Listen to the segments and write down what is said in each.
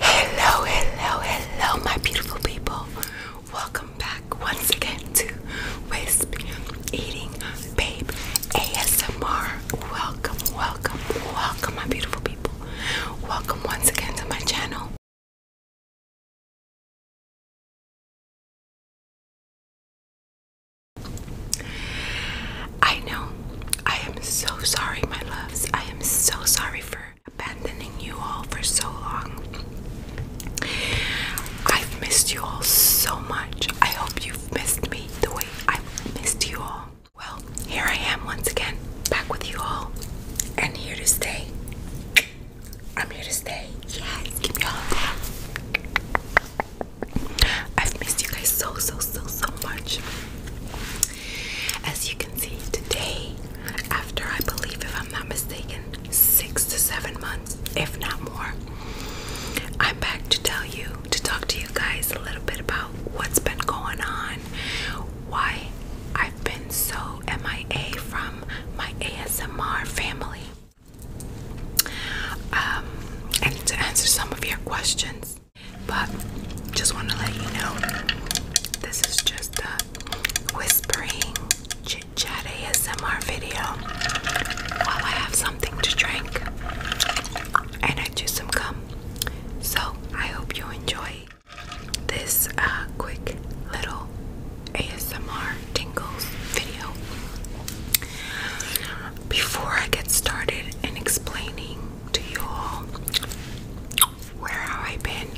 Hello, hello, hello, my beautiful people. Welcome back once again to Wisp Eating Babe ASMR. Welcome, welcome, welcome, my beautiful people. Welcome once again to my channel. I know I am so sorry, my loves. I am so sorry for abandoning you all for so long. I've missed you all so much. I hope you've missed me the way I've missed you all. Well, here I am once again, back with you all, and here to stay. I'm here to stay. Yes, give me all I've missed you guys so, so, so, so much. As you can see today, after I believe, if I'm not mistaken, six to seven months, if not more, I'm back to tell you, to talk to you guys a little bit about what's been going on, why I've been so MIA from my ASMR family. Um, and to answer some of your questions. But just want to let you know this is just a whispering, chit chat ASMR video while I have something to drink and I do some gum. So I hope you enjoy this uh, quick little ASMR tingles video. Before I get started in explaining to you all where have I been?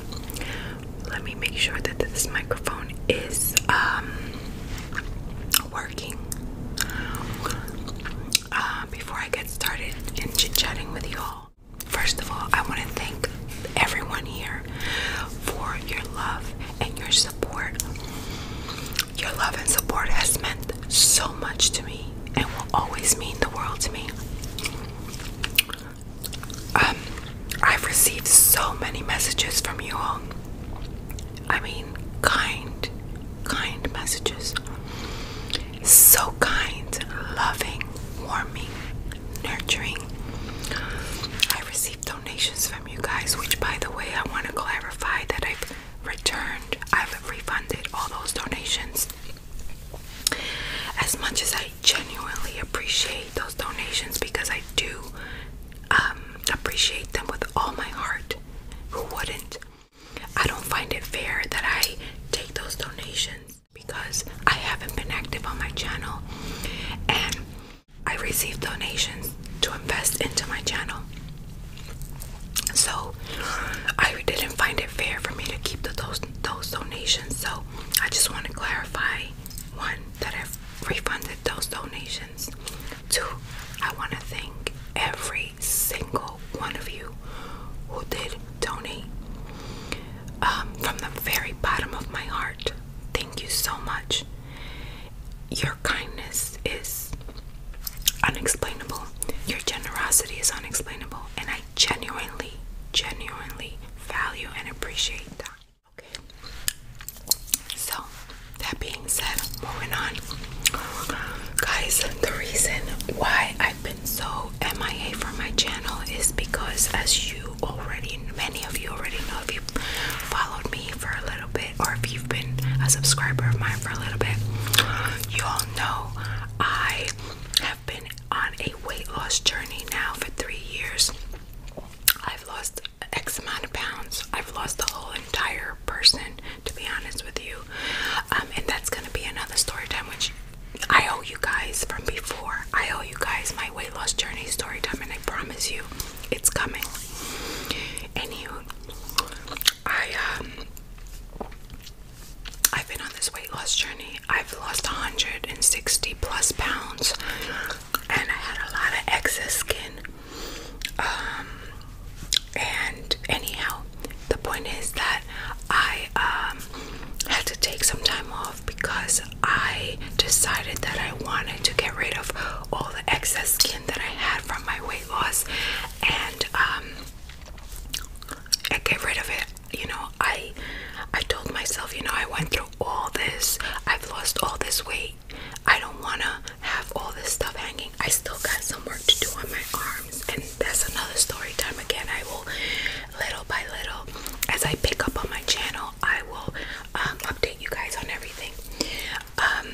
Let me make sure that this microphone is um, working uh, before I get started and chit chatting with you all. First of all, I want to thank everyone here for your love and your support. Your love and support has meant so much to me and will always mean the world to me. Um, I've received so many messages from you all. I mean, kind, kind messages. So kind, loving, warming, nurturing. I received donations from you guys, which, by the way, I want to clarify that I've returned, I've refunded all those donations. As much as I genuinely appreciate those donations because I do um, appreciate them with all my heart, who wouldn't? I don't find it fair that I take those donations because I haven't been active on my channel and I receive donations to invest into my channel. So I didn't find it fair for me to keep the, those those donations. So I just want to clarify one that I've refunded those donations. Two, I want to thank every single one of you who did donate um, from the very bottom of my heart. Thank you so much. Your kindness is unexplainable. Your generosity is unexplainable, and I genuinely, genuinely value and appreciate that. Okay. So that being said, moving on. Guys, the reason why I've been so MIA for my channel is because as you already many of you already know if you've followed me for a little bit or if you've been a subscriber of mine for a little bit, you all know I have been on a weight loss journey now for three years. I've lost X amount of pounds. I've lost the whole entire person, to be honest with you. Um, and that's going to be another story time, which I owe you guys from before. I owe you guys my weight loss journey story time, and I promise you it's coming. Anywho, I, um, I've been on this weight loss journey. I've lost 160 plus pounds, and I had a lot of excess skin. Um, and anyhow, the point is that I um, had to take some time off because I decided that I wanted to get rid of all the excess skin that I had from my weight loss, and I um, get rid of it you know, I I told myself, you know, I went through all this. I've lost all this weight. I don't want to have all this stuff hanging. I still got some work to do on my arms, and that's another story time again. I will little by little as I pick up on my channel, I will um, update you guys on everything. Um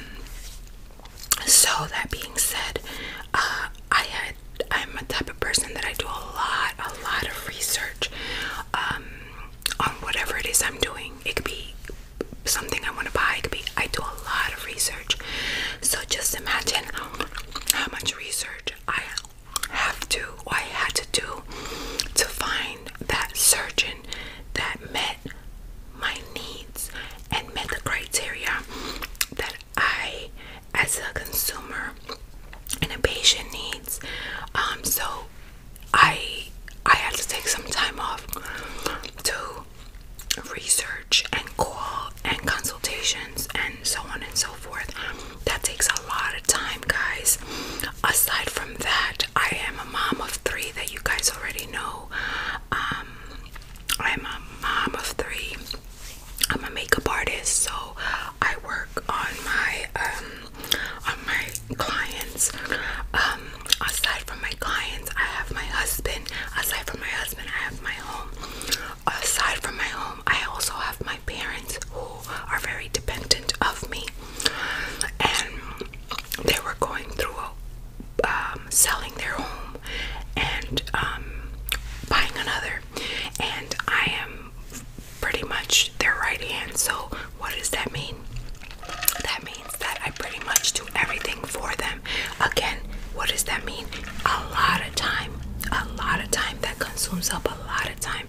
so that being said, uh I I am a type of person that I do a lot, a lot of research um, on whatever it is I'm doing. It could be something I want to buy. It could be I do a lot of research. So just imagine how much research I have to, or I had to do, to find that surgeon that met my needs and met the criteria that I, as a consumer and a patient needs. Um, so I I had to take some time off to research and call and consultations and so on and so forth. That takes a lot of time, guys. Aside from that, I am a mom of three that you guys already know. Um, I'm a mom of three. I'm a makeup artist, so I work on my um, on my clients. Um, aside from my clients, I have my husband. Aside from my husband, I have my home. Aside from my home, I also have my parents who are very dependent of me. And they were going through um, selling their home and buying another. And I am pretty much their right hand. So, what does that mean? That means that I pretty much do everything for them. Again, what does that mean? A lot of time. A lot of time. That consumes up a lot of time.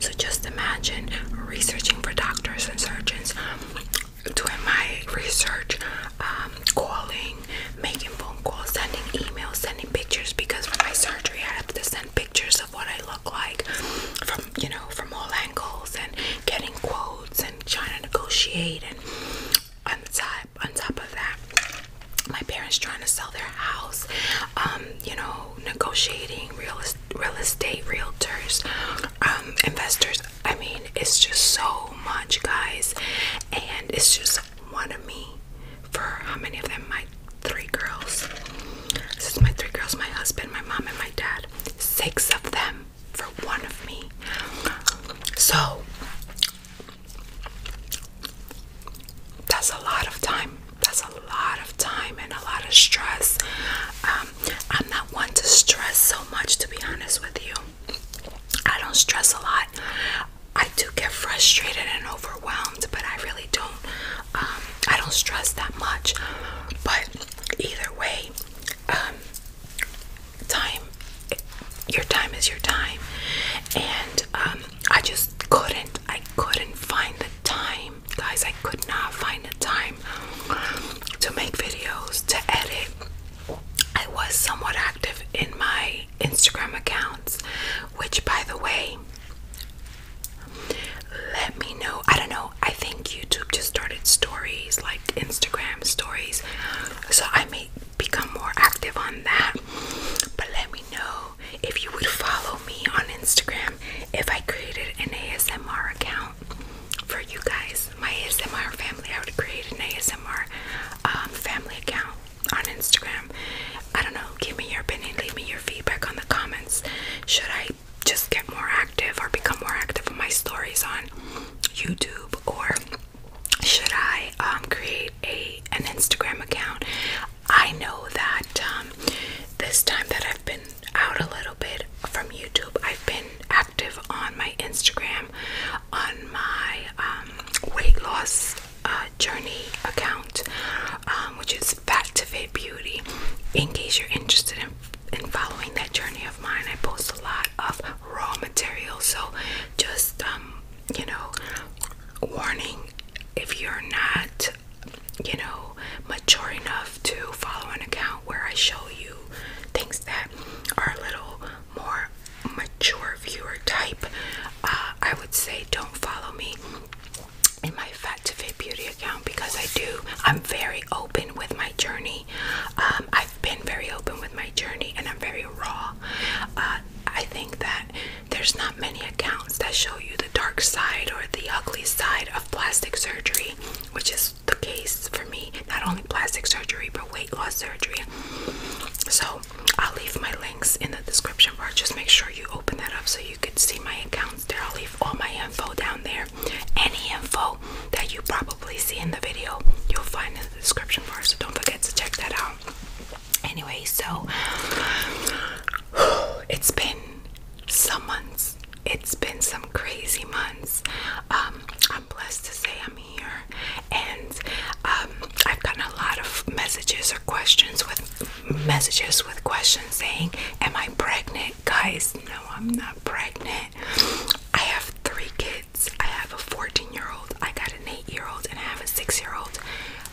So, just imagine researching for doctors and surgeons, doing my research, um, calling, making phone calls, sending emails, sending pictures because for my surgery I have to send pictures of what I look like from you know from all angles and getting quotes and trying to negotiate and on top on top of that my parents trying to sell their house um you know negotiating real real estate realtors um investors I mean it's just so much guys and it's just one of me for how many of them? My three girls. This is my three girls, my husband, my mom, and my dad. Six of them for one of me. So that's a lot of time. That's a lot of time and a lot of stress. Um, I'm not one to stress so much, to be honest with you. I don't stress a lot. I do get frustrated and overwhelmed, but I really don't. Um, I don't stress that much. But either way, um, time, your time is your time, and um, I just couldn't. I couldn't find the time, guys. I could not find the time to make videos, to edit. I was somewhat active in my Instagram accounts, which by the way, let me know. I don't know. I think YouTube just started stories like Instagram stories, so I may become more active on that. But let me know if you would follow me on Instagram if I created an ASMR account for you guys, my ASMR family. I would create an ASMR um, family account on Instagram. I don't know, give me your opinion, leave me your feedback on the comments. Should I just get more active or become more active on my stories on YouTube or should I um, create a an Instagram account? I know that um, this time that I've been out a little bit from YouTube, I've been active on my Instagram, on my um, weight loss uh, journey account, um, which is to Factivate Beauty. In case you're interested in in following that journey of mine, I post a lot of raw material. So just um, you know, warning if you're not you know mature enough to follow an account where I show you things that are a little more mature viewer type, uh, I would say don't follow me in my Fat to Fit Beauty account because I do, I'm very open with my journey. Um, I've been very open with my journey and I'm very raw. Uh, I think that there's not many accounts that show you the dark side or the ugly side of plastic surgery, which is the case for me. Not only plastic surgery, but weight loss surgery. So I'll leave my links in the description bar. Just make sure you open that up so you can see my accounts there. I'll leave all my info down there. Any info that you probably see in the video, you'll find in the description bar. So don't forget to check that out. Anyway, so it's been some months. It's been some crazy months. Um, I'm blessed to say I'm here, and um, I've gotten a lot of messages questions with messages with questions saying, Am I pregnant? Guys, no, I'm not pregnant. I have three kids. I have a 14 year old, I got an 8 year old, and I have a 6 year old.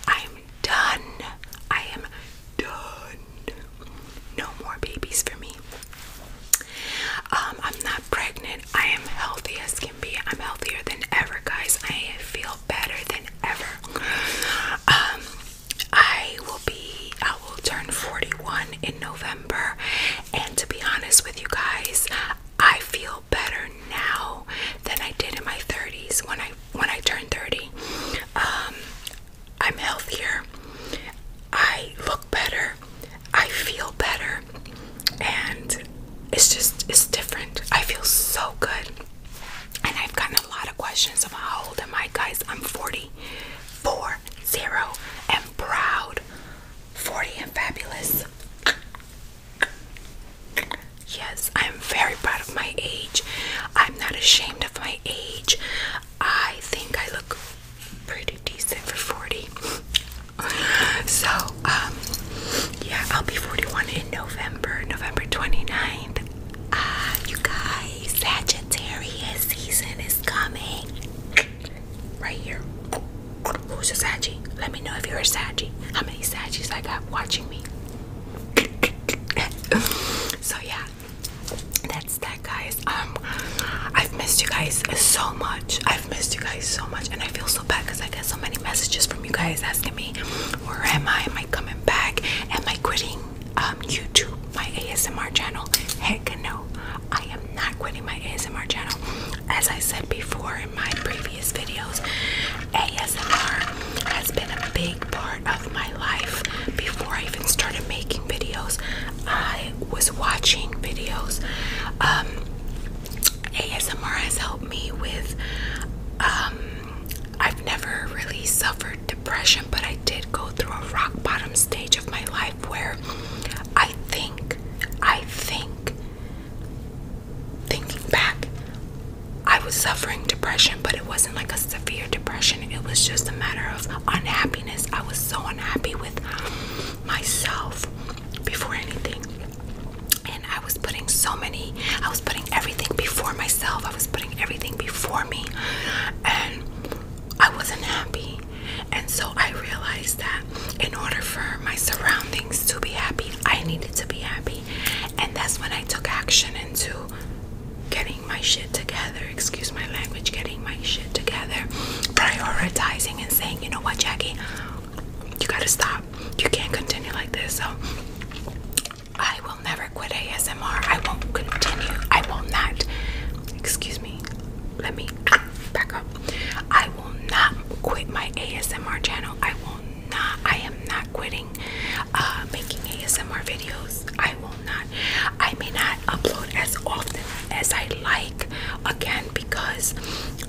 I'm done. I am done. No more babies for me. Um, I'm not pregnant. I am healthy as can be. I'm healthier than ever, guys. I feel better than ever. Um, I will be, I will turn 41 in November, and to be honest with you guys, I feel better now than I did in my 30s when I when I turned 30. Um, I'm healthier. I look better. I feel better, and it's just it's different. I feel so good and I've gotten a lot of questions about how old am I, guys? I'm 40, four zero, and proud, 40 and fabulous. Yes, I'm very proud of my age. I'm not ashamed of my age. I think I look pretty decent for 40. so, um, yeah, I'll be 41 in November, November 29th. Ah, you guys, Sagittarius season is coming. Right here. Who's a Saggy? Let me know if you're a Saggy. How many Sagittarius I got watching me? so yeah, that's that, guys. Um, I've missed you guys so much. I've missed you guys so much, and I feel so bad because I get so many messages from you guys asking me where am I? Am I coming back? Am I quitting um, YouTube, my ASMR channel? Heck no, I am not quitting my ASMR channel. As I said before in my previous videos, ASMR has been a big part of my life. Before I even started making videos, I was watching videos. Um, ASMR has helped me with um, I've never really suffered depression, but I did go through a rock bottom stage of my life where I think, I think, thinking back, I was suffering depression, but it wasn't like a severe depression. It was just a matter of unhappiness. I was so unhappy with myself before anything. And I was putting so many I was putting everything before myself. I was putting everything before me. And I wasn't happy. And so I realized that in order for my surroundings to be happy, I needed to be happy. And that's when I took action into getting my shit together, excuse my language, getting my shit together, prioritizing and saying, you know what, Jackie, you gotta stop. You can't continue like this. So I will never quit ASMR. I won't continue. I will not. Excuse me. Let me back up. I will not quit my ASMR channel. I will not. I am not quitting uh, making ASMR videos. I will not. I may not upload as often as I like again because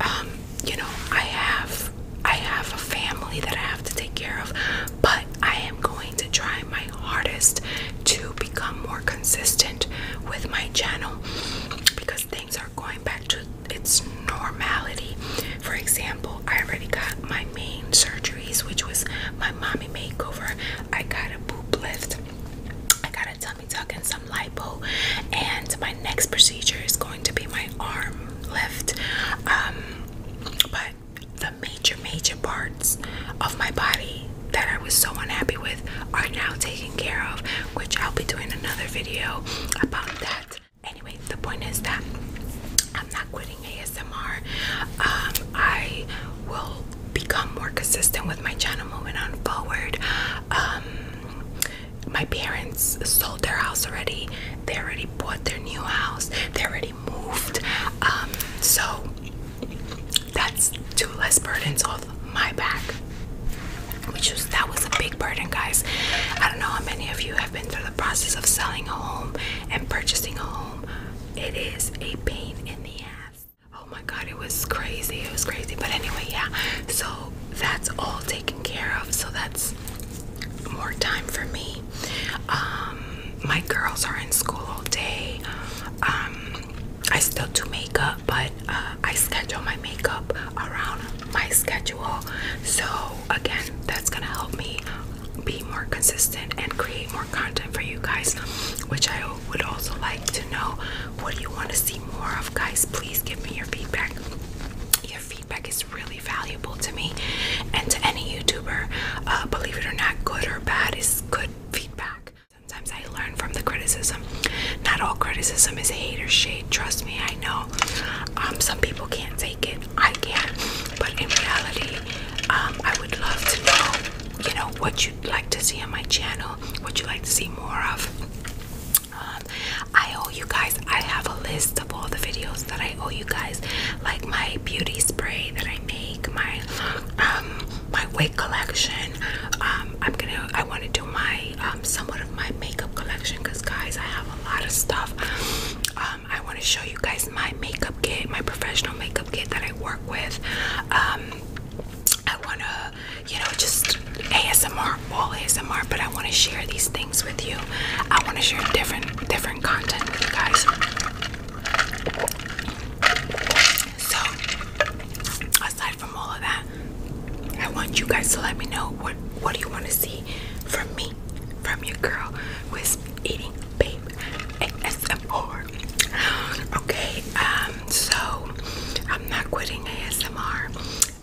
um, you know I have I have a family that I have to take care of but I am going to try my hardest to become more consistent with my channel because things are going back to its normality. For example, I already got my main surgeries, which was my mommy makeover. I got a boob lift. I got a tummy tuck and some lipo, and my next procedure is going to be my arm lift. Um, but the major, major parts of my body that I was so unhappy with are now taken care of, which I'll be doing another video about that. Anyway, the point is that I'm not quitting ASMR. Um, I will become more consistent with my channel moving on forward. Um, my parents sold their house already. They already bought their new house. They already moved. Um, so that's two less burdens off my back. Which was that was a big burden, guys. I don't know how many of you have been through the process of selling a home and purchasing a home. It is a pain in the ass. Oh my god, it was crazy. It was crazy. But anyway, yeah. So that's all taken care of. So that's more time for me. Um, my girls are in school all day. Um, I still do makeup, but uh, I schedule my makeup around my schedule. So, again, that's gonna help me be more consistent and create more content for you guys, which I would also like to know what do you want to see more of, guys. Please give me your feedback. Your feedback is really valuable to me and to any YouTuber. Uh, believe it or not, good or bad is good feedback. Sometimes I learn from the criticism. Not all criticism is hate or shade. Trust me, I know. Um, some people can't take it. I can. not But in reality, um, I would love to know, you know, what you'd like to see on my channel, what you'd like to see more of. Um, I owe you guys. I have a list of all the videos that I owe you guys, like my beauty spray that I make, my um my wig collection. Um, I'm gonna I want to do my um somewhat of my makeup collection because guys I have a lot of stuff. Um, I want to show you guys my makeup kit, my professional makeup kit that I work with. Um, I want to, you know, just ASMR, all ASMR, but I want to share these things with you. I want to share different, different content with you guys. So, aside from all of that, I want you guys to let me know what what do you want to see from me, from your girl who is eating babe ASMR. Okay, um, so I'm not quitting ASMR.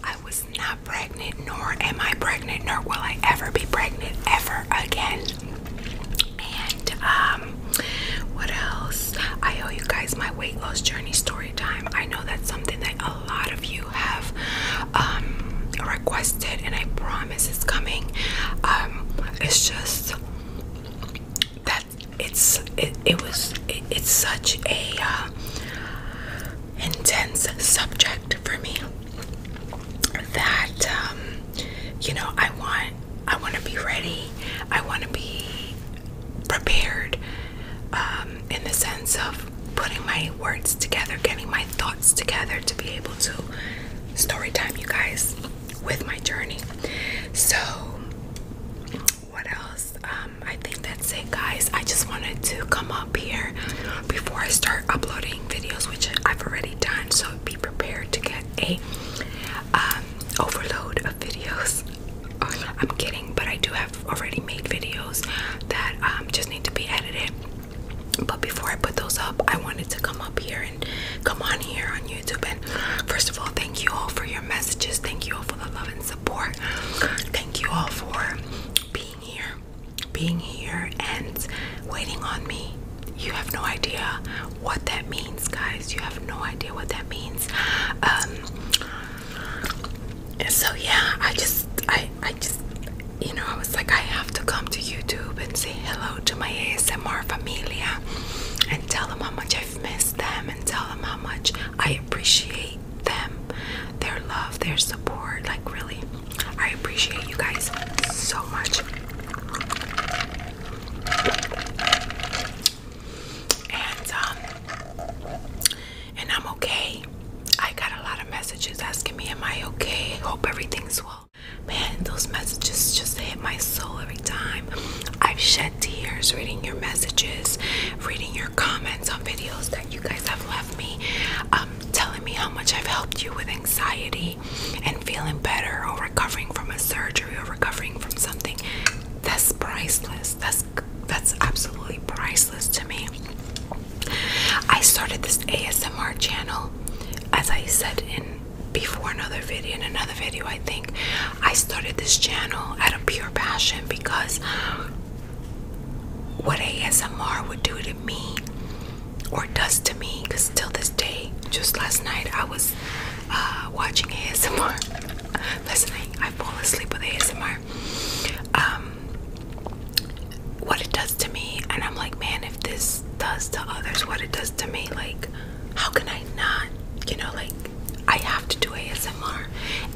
I was not pregnant, nor am I pregnant, nor will I ever be pregnant ever again. And um, what else? I owe you guys my weight loss journey story time. I know that's something that a lot of you have um, requested, and I promise it's coming. Um, it's just that it's it, was it's such a uh, intense subject for me that um, you know I want I want to be ready. I want to be prepared um, in the sense of putting my words together, getting my thoughts together to be able to story time you guys with my journey. So what else? Um, I think that's it, guys. I just wanted to come up here before I start uploading videos, which I've already done. So be be prepared to get a um, overload of videos. I'm kidding, but I do have already made videos that um, just need to be edited. But before I put those up, I wanted to come up here and come on here on YouTube. And first of all, thank you all for your messages. Thank you all for the love and support. Thank you all for being here being here and waiting on me. You have no idea what that means, guys. You have no idea what that means. Um, so yeah, I just, I, I just, you know, I was like, I have to come to YouTube and say hello to my ASMR familia and tell them how much I've missed them and tell them how much I appreciate them, their love, their support, like really. I appreciate you guys so much. And um and I'm okay. I got a lot of messages asking me, am I okay? Hope everything's well. Man, those messages just hit my soul every time. I've shed tears reading your messages, reading your comments on videos that you guys have left me, um, telling me how much I've helped you with anxiety and feeling better or recovering from a surgery or recovering from something that's priceless that's that's absolutely priceless to me i started this asmr channel as i said in before another video in another video i think i started this channel out of pure passion because what asmr would do to me or does to me because till this day just last night i was uh, watching asmr listening i fall asleep with asmr um, what it does to me and i'm like man if this does to others what it does to me like how can i not you know like i have to do asmr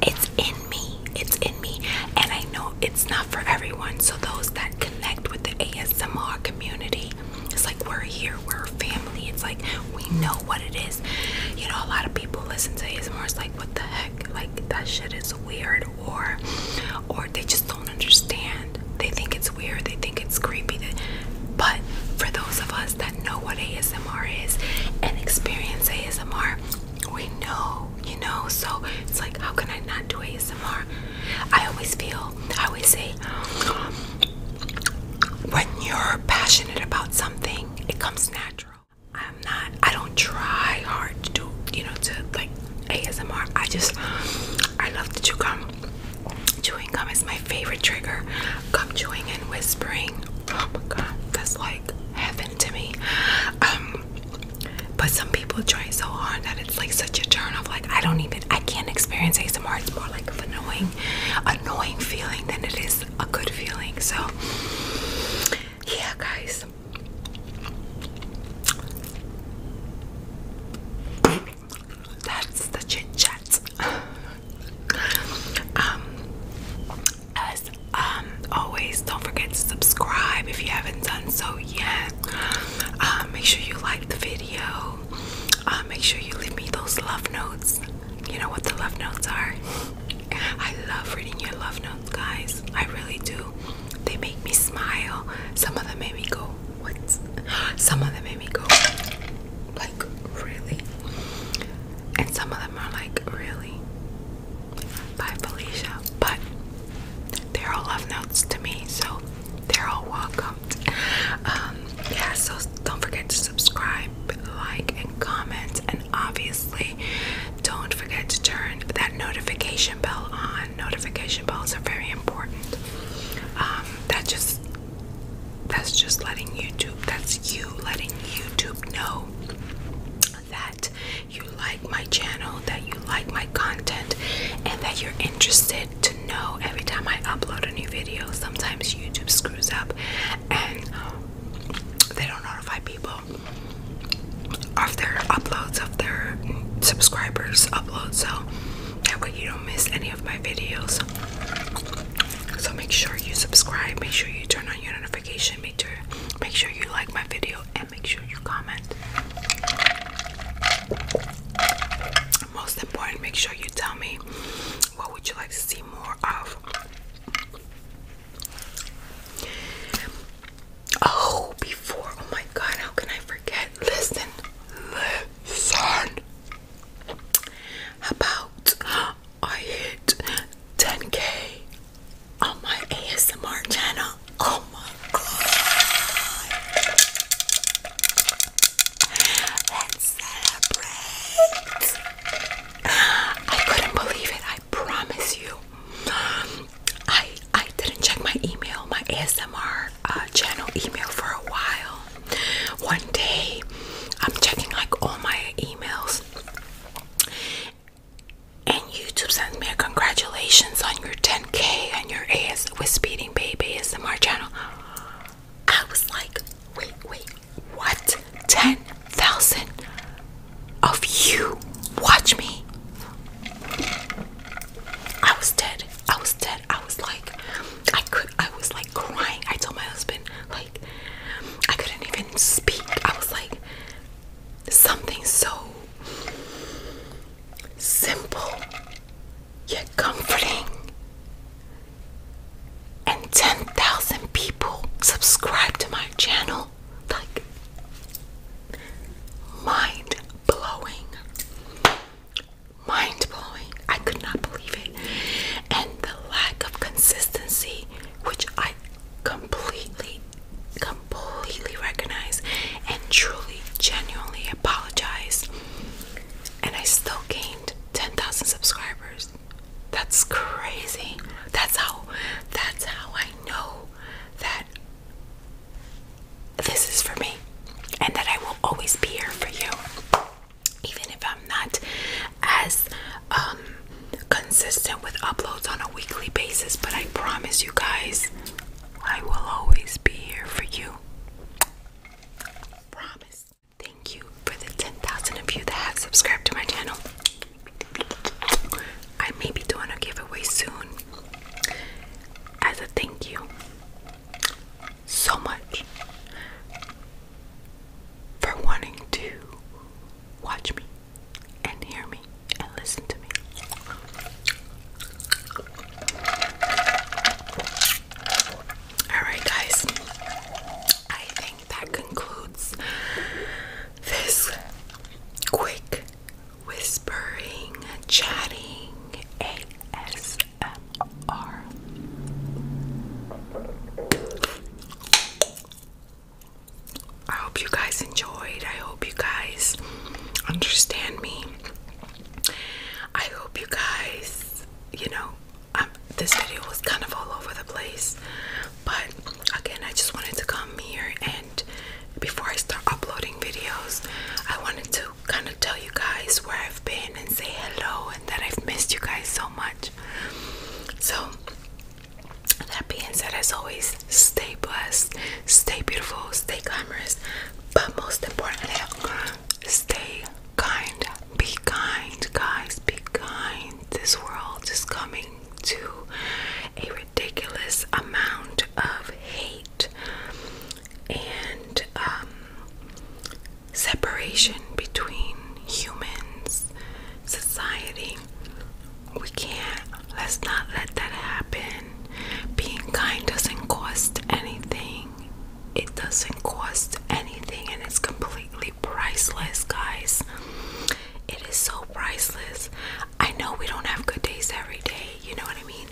it's in me it's in me and i know it's not for everyone so those that connect with the asmr community it's like we're here, we're a family. It's like we know what it is. You know, a lot of people listen to ASMR. It's like, what the heck? Like that shit is weird, or or they just don't understand. They think it's weird. They think it's creepy. but for those of us that know what ASMR is and experience ASMR, we know, you know. So it's like, how can I not do ASMR? I always feel I always say when you're passionate about something, it comes natural. I'm not, I don't try hard to do, you know, to like ASMR. I just, I love to chew gum. Chewing gum is my favorite trigger. Gum chewing and whispering. Oh my god, that's like heaven to me. Um, but some people trying so hard that it's like such a turn off. Like I don't even I can't experience ASMR. It's more like an annoying, annoying feeling than it is a good feeling. So yeah, guys. That's the chit chat. Um, as um, always, don't forget to subscribe if you haven't done so yet. Um, make sure you like the video uh, make sure you leave me those love notes. You know what the love notes are? I love reading your love notes, guys. I really do. They make me smile. Some of them make me go, What? Some of them make me go, Like, really? And some of them are like, Really? Bye, Felicia. But they're all love notes to me, so they're all welcome. Um, yeah, so don't forget to subscribe, like, and comment, and obviously, don't forget to turn that notification bell on. Notification bells are very important. Um, that's just that's just letting YouTube. That's you letting YouTube know that you like my channel, that you like my content, and that you're interested to know every time I upload a new video. Sometimes YouTube screws up and they don't notify people of their uploads, of their subscribers' uploads, so that way you don't miss any of my videos. So make sure you subscribe, make sure you turn on your notification, make make sure you like my video and make sure you comment most important make sure you tell me what would you like to see more of oh before oh my god how can i forget listen listen about i hit 10k on my asmr channel oh my Let's celebrate. I couldn't believe it. I promise you. I I didn't check my email, my ASMR uh, channel email for a while. One day, I'm checking like all my emails, and YouTube sends me a congratulations on your 10 k and your AS with Speeding Babe ASMR channel. I was like, wait, wait, what? 10,000 of you watch me? I was dead. I was dead. I was like, I could, I was like crying. I told my husband, like, I couldn't even speak. I was like, something so simple yet comforting. And 10,000 people subscribe to my channel. Like, mind blowing. Mind blowing. I could not believe it. And the lack of consistency, which I completely, completely recognize and truly, genuinely apologize and I still gained 10,000 subscribers. That's crazy. That's how that's how I know that this is for me and that I will always be here for you. Even if I'm not as um, consistent with uploads on a weekly basis, but I promise you guys I will always be here for you. Promise. Thank you for the 10,000 of you that have subscribed to my channel. I may be doing a giveaway soon as a thank you so much for wanting to watch me and hear me and listen to me. All right, guys. I think that concludes this quick whispering, chatting ASMR. I hope you guys enjoyed. I hope you guys understand me. I hope you guys, you know, this video was kind of all over the place, but again, I just wanted to come here and before I start uploading videos, I wanted to kind of tell you guys where I've been and say hello and that I've missed you guys so much. So, that being said, as always, stay blessed, stay beautiful, stay glamorous, but most importantly, Stay kind. Be kind, guys. Be kind. This world is coming to a ridiculous amount of hate and um, separation between humans, society. We can't. Let's not let that happen. Being kind doesn't cost anything. It doesn't cost anything and it's completely priceless, guys. It is so priceless. I know we don't have good days every day, you know what I mean?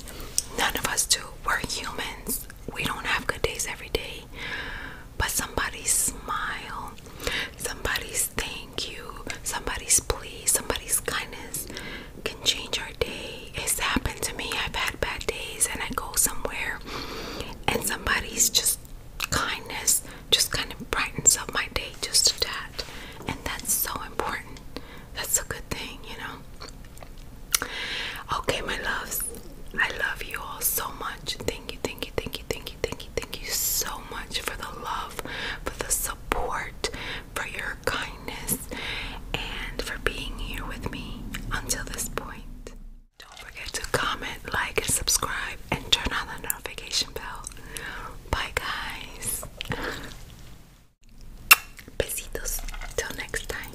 None of us do. We're humans. We don't have good days every day. But somebody's smile, somebody's thank you, somebody's please, somebody's kindness, can change our day. It's happened to me. I've had bad days and I go somewhere and somebody's just kindness just kind of brightens up my day just a tad. And that's so important. That's a good thing, you know. Okay, my loves. I love you all so much. Thank you, thank you, thank you, thank you, thank you, thank you so much for the love, for the support, for your kindness and for being here with me until this point. Don't forget to comment, like, and subscribe, and turn on the notification bell. Bye, guys. Besitos. Till next time.